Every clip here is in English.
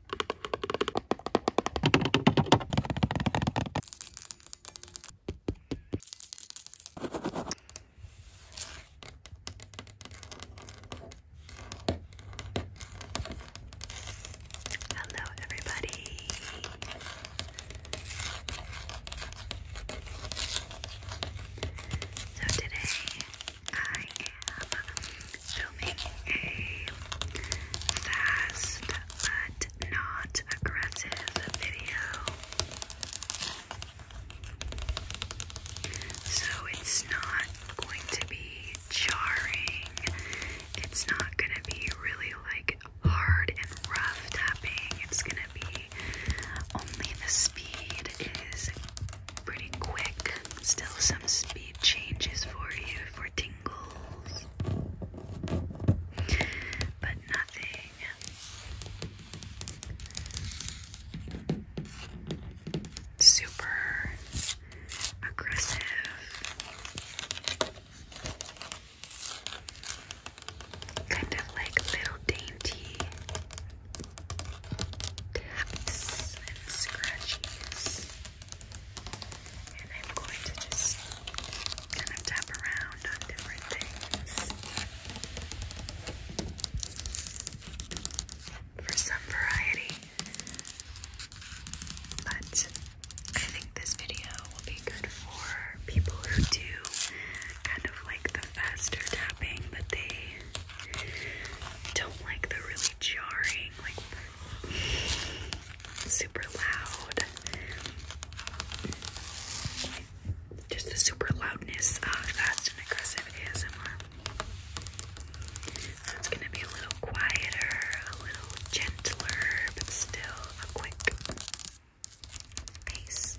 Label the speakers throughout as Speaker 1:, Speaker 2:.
Speaker 1: Hello, everybody. So, today I am filming a fast but not aggressive video. So it's not going to be jarring. It's not going to be really like hard and rough tapping. It's going to be only the speed is pretty quick. Still some speed changes for you for tingling symbols, but nothing super aggressive. Kind of like little dainty taps and scratches. And I'm going to just kind of tap around on different things for some variety. But I think this video will be good for people who do kind of like the faster tapping, but they don't like the really jarring, like super loud. Just the super loudness fast and aggressive ASMR. it's gonna be a little quieter, a little gentler, but still a quick pace.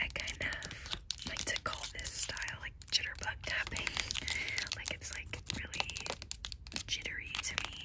Speaker 1: I kind of like to call this style like jitterbug tapping. like it's like really jittery to me.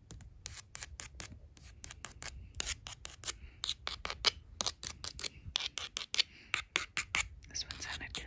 Speaker 1: This one sounded good.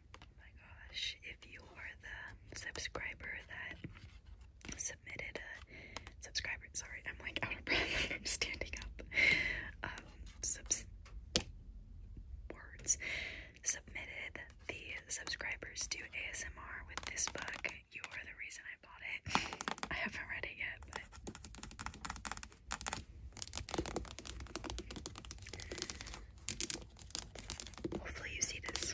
Speaker 1: Oh my gosh, if you are the subscriber that submitted a subscriber, sorry, I'm like out of breath, standing up. Um, subs words submitted the subscribers to ASMR with this book. You are the reason I bought it. I haven't read it yet, but Hopefully you see this.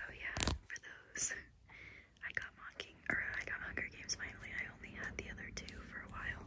Speaker 1: Oh yeah, for those I got mocking or I got Hunger Games finally. I only had the other two for a while.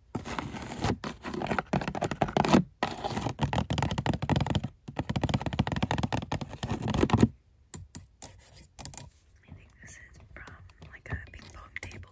Speaker 1: I think this is from like a ping pong table.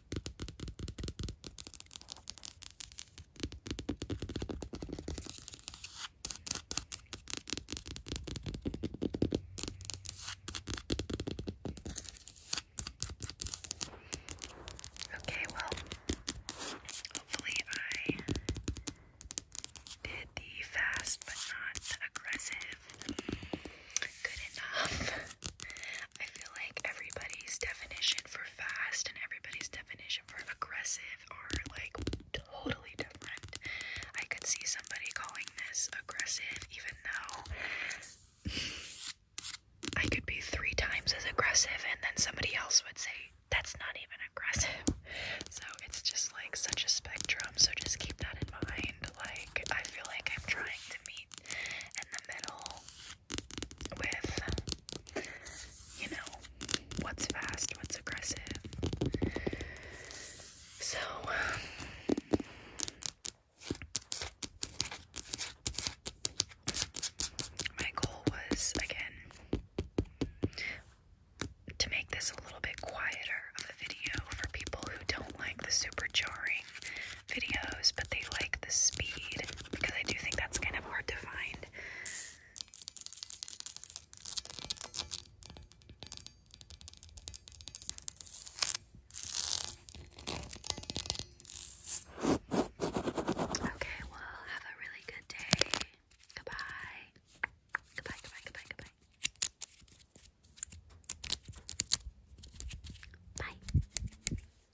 Speaker 1: Okay, well, hopefully I did the fast but not aggressive good enough. I feel like everybody's definition for fast and everybody's definition for aggressive are like totally different. I could see somebody calling this aggressive, even though I could be three times as aggressive, and then somebody else would say, That's not even aggressive. So it's just like such a spectrum. So just keep that in mind. Like, I feel like I'm trying to meet in the middle with, you know, what's fast, what's aggressive. So, um, my goal was, again, to make this a little bit quieter of a video for people who don't like the super jarring videos, but they like the speed because I do think that's kind of hard to find. Okay, well, have a really good day. Goodbye. Goodbye, goodbye, goodbye, goodbye. Bye.